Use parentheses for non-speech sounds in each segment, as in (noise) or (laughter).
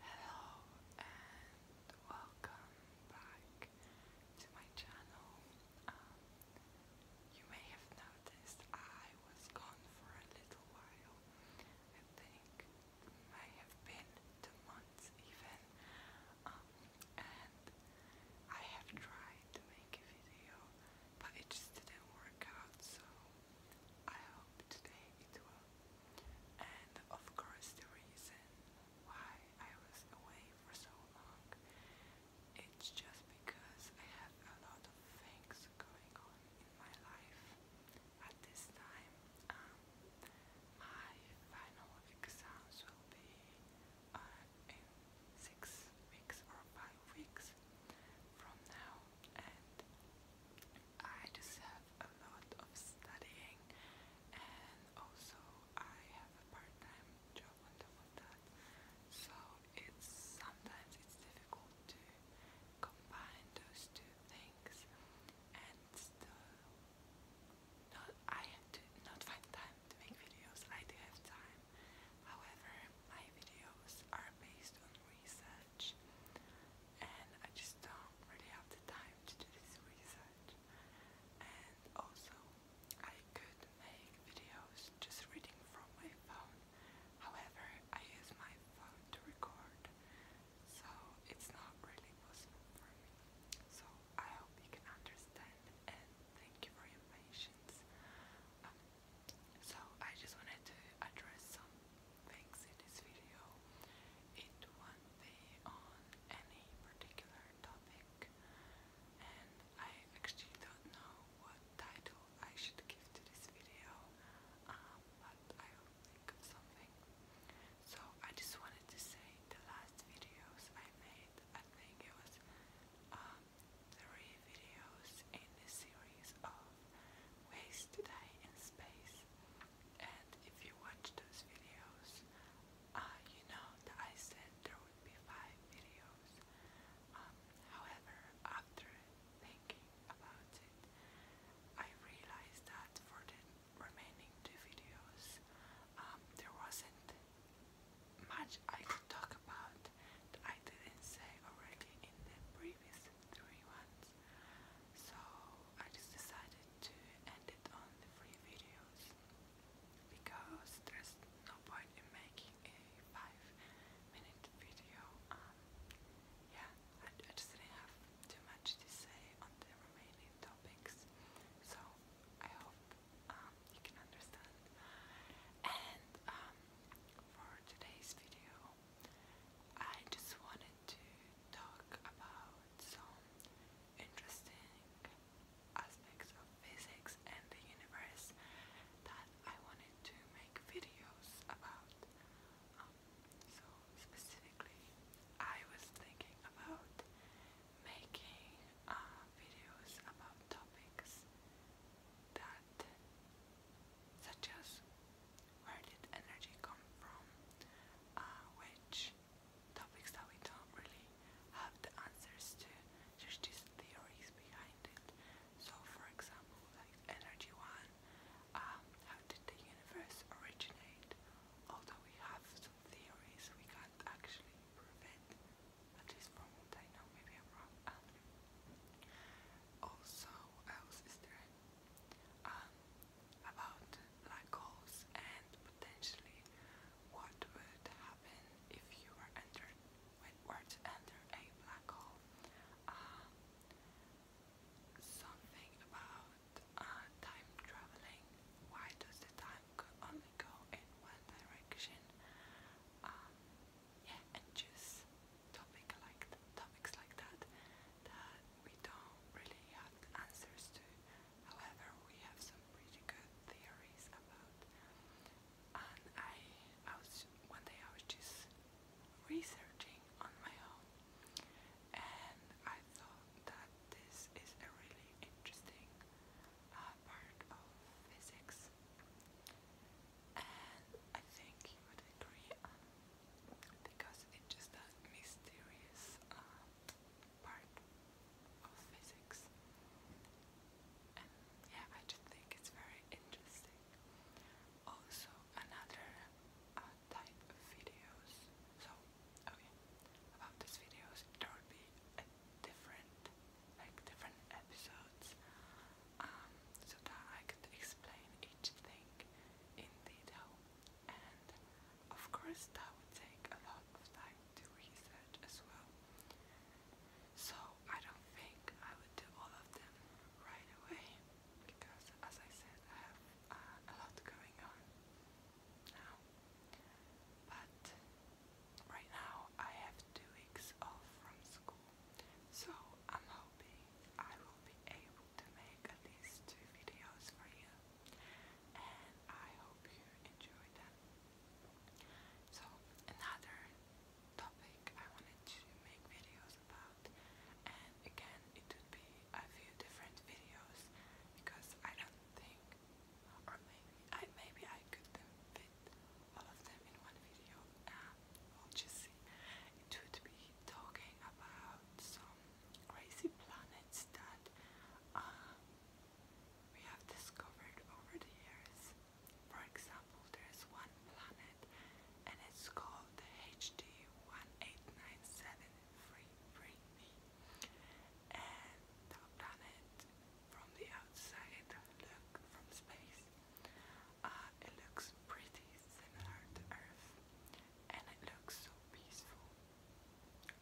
Hello and welcome back to my channel. Um, you may have noticed I was gone for a little while. I think it may have been two months even. Um, and I have tried to make a video, but it just didn't work out. So I hope today it will. And of course, the reason why I was away for so long it's just because I have a lot of things going on in my life at this time. Um, my final exams will be uh, in six weeks or five weeks from now, I just have a lot of studying and also I have a part-time job on top of that so it's sometimes it's difficult to combine those two things and still not, I do not find time to make videos, I do have time however my videos are based on research and I just don't really have the time to do this research. And also, I could make videos just reading from my phone. However, I use my phone to record, so it's not really possible for me. So I hope you can understand, and thank you for your patience. Um, so I just wanted to address some things in this video. It won't on any particular topic, and I actually don't know what title I should give to this video, um, but I will think of something. So I just wanted to say the last videos I made, I think it was um, three videos in the series ways to die in space. And if you watch those videos, uh, you know that I said there would be five videos. Um, however, after thinking about it, I realized that for the remaining two videos, um, there wasn't much I could talk about I didn't say already in the previous three ones months. So I just decided to end it on the free videos because there's no point in making a five minute video. Um, yeah, I, just didn't have too much to say on the remaining topics. So I hope um, you can understand. And um, for today's video, I just wanted to talk about some interesting aspects of physics and the universe that I wanted to make videos about. Um, so specifically, I was thinking about making uh, videos about topics that such as where did energy come from, uh, which topics that we don't really have the answers to, there's just theories behind it. So for example, like energy one, um, how did the universe originate? Although we have some theories, we can't actually prove it, at least from what I know, maybe I'm wrong. Um, also, else is there? um, about black holes and potentially what would happen if you were to enter a black hole. Um, something about uh, time traveling. Why does the time only go in one direction? Um, yeah, and choose topic like topics like that we don't really have answers to. However, we have some pretty good theories about. And I, I was one day I was just researching on my own, and I thought that this is a really interesting uh, part of physics and I think you would agree um, because it's just that mysterious um, part of physics. And yeah, I just think it's very interesting. Also, another uh, type of videos. So, oh yeah, about these videos, there will be a different, like different episodes um, so that I could explain each thing in detail. And of course, that would take a lot of time to research as well. So I don't think I would do all of them right away as I said, I have uh, a lot going on now. But right now I have two weeks off from school, so I'm hoping I will be able to make at least two videos for you, and I hope you enjoy them. So, another topic I wanted to make videos about, and again, it would be a few different videos because I don't think, or maybe I maybe I could fit all of them in one video. Uh, um, we just see. It would be talking about some crazy planets that uh, we have discovered over the years. For example, there's one planet and it's called the HD 18973 and the planet from the outside look from space uh, it looks pretty similar to Earth and it looks so peaceful.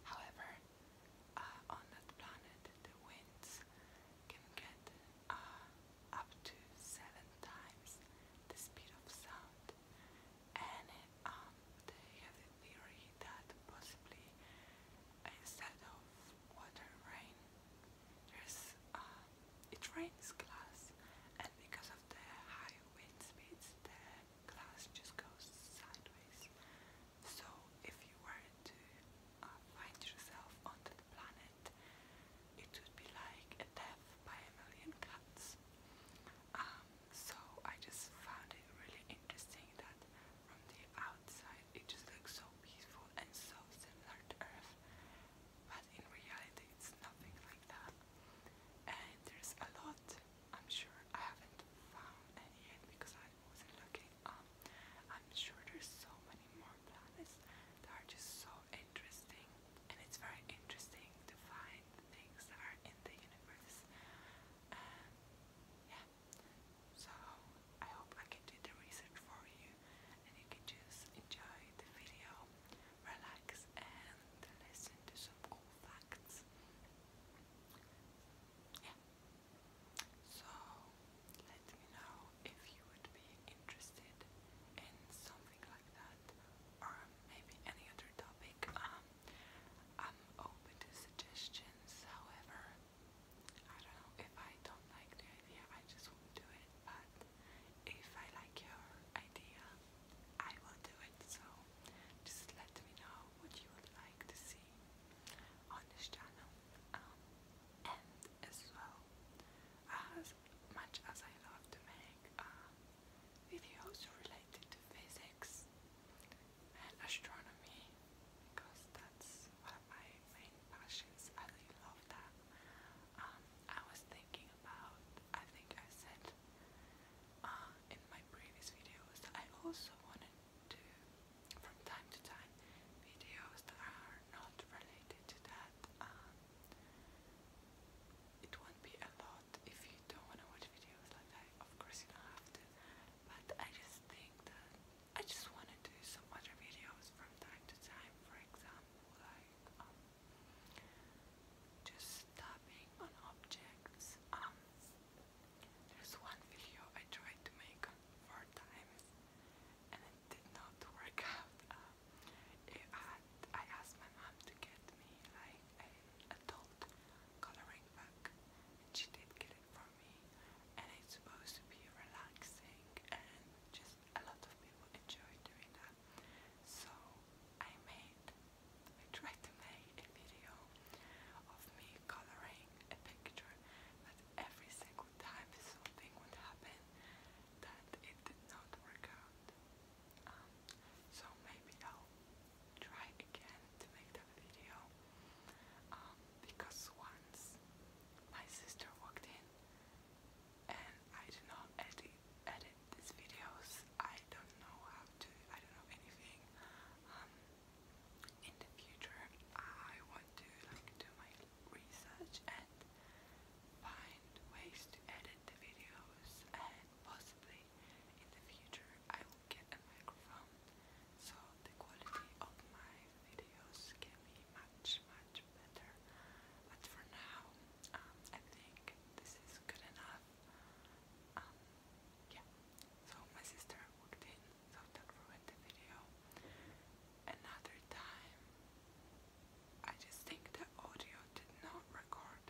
However, uh, on that planet the winds can get uh, up to seven times the speed of sound and um, they have the theory that possibly instead of water rain there's uh, it rains glass, and because of the high wind speeds, the glass just goes sideways. So if you were to uh, find yourself on the planet, it would be like a death by a million cuts. Um, so I just found it really interesting that from the outside it just looks so peaceful and so similar to Earth, but in reality it's nothing like that. And there's a lot, I'm sure I haven't found any yet because I wasn't looking up. Um, I'm sure there's so many more planets that are just so interesting and it's very interesting to find things that are in the universe. And yeah, so I hope I can do the research for you and you can just enjoy the video, relax and listen to some cool facts. Yeah. So let me know if you would be interested in something like that or maybe any other topic. Um, I'm open to suggestions, however I don't know if I don't like the idea, I just won't do it, but if I like your idea, I will do it. So just let me know what you would like to see on this channel. Um, and as well, as much as I love to make um, videos related to physics and astronomy, because that's what I main passions. I love that. Um, I was thinking about, I think I said uh, in my previous videos, I also wanted to, from time to time, videos that are not related to that. Um, it won't be a lot if you don't want to watch videos like that. Of course, you don't have to, but I just think that I just want to do some other videos from time to time, for example, like um, just tapping on objects. Um, there's one video I tried to make four times and it did not work (laughs) out. Um, I asked my mom to get me like an adult coloring book she did get it for me and it's supposed to be relaxing and just a lot of people enjoy doing that. So I made, I tried to make a video of me coloring a picture, but every single time something would happen that it did not work out. Um, so maybe I'll try again to make that video um, because once my sister walked in and I do not edit edit these videos. I don't know how to. I don't know anything. Um, in the future, I want to like do my research and find ways to edit the videos and possibly in the future I will get a microphone so the quality of my videos can be much, much better. But for now, um, I think this is good enough. Um, yeah. So my sister walked in, so that ruined the video. Another time, I just think the audio did not record.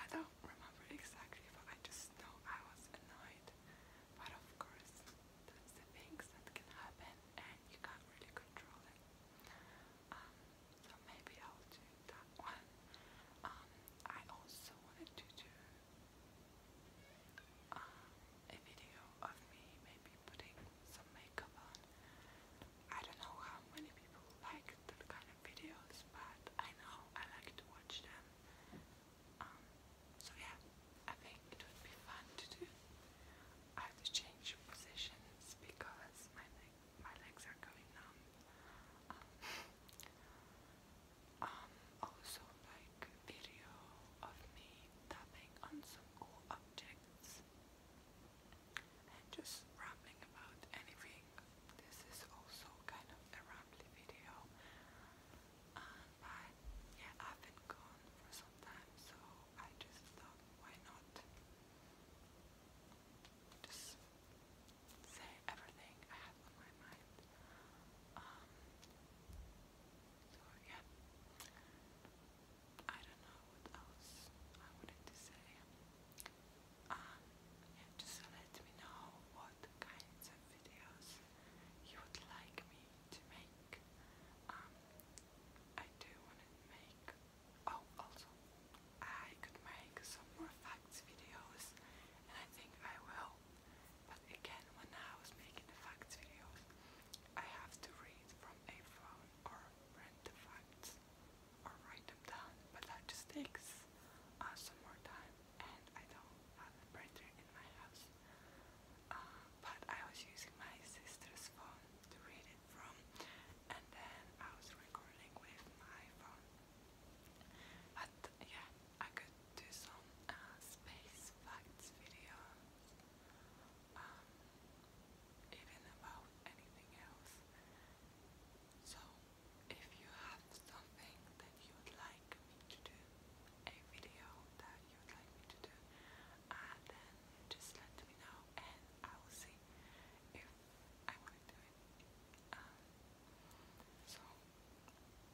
I don't remember exactly, but I just know I was annoyed of course, that's the things that can happen and you can't really control it. Um, so maybe I'll do that one. Um, I also wanted to do uh, a video of me maybe putting some makeup on. I don't know how many people like that kind of videos, but I know I like to watch them. Um, so yeah, I think it would be fun to do. I have to change positions because my legs are going numb. Um, um, also like video of me tapping on some cool objects just rambling about anything. This is also kind of a rambly video but yeah, I've been gone for some time, so I just thought, why not just say everything I had on my mind. Um, yeah, I don't know what else I wanted to say. Um, yeah, just let me know what kinds of videos you would like me to make. Um, I do want to make. Oh, also, I could make some more facts videos, and I think I will. But again, when I was making the facts videos, I have to read from a phone or print the facts or write them down, but that just takes uh, some more time and I don't have a printer in my house. Uh, but I was using my sister's phone to read it from, and then I was recording with my phone. But yeah, I could do some uh, space facts videos, um, even about anything else. So, if you have something that you would like me to do, a video that you would like me to do and then just let me know and I will see if I want to do it. Um, so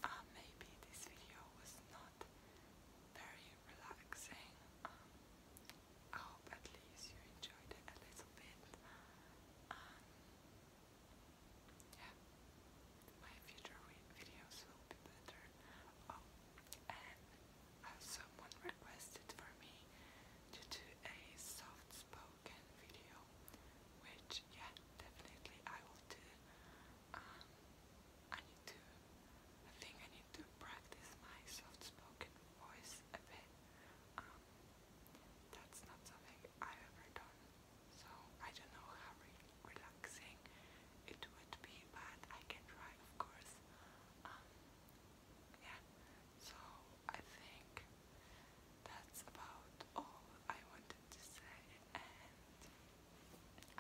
uh, maybe this video was not very relaxing. Um, I hope at least you enjoyed it a little bit. Um, yeah my future videos will be better. Oh, and uh, someone requested for me to do a soft spoken video, which, yeah, definitely I will do. Um, I need to, I think I need to practice my soft spoken voice a bit. Um, that's not something I've done so I don't know how relaxing it would be, but I can try, of course. Um, yeah. So I think that's about all I wanted to say. And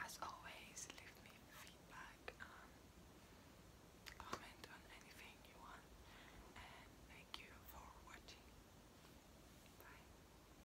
as always, leave me feedback. Um, comment on anything you want. And thank you for watching. Bye.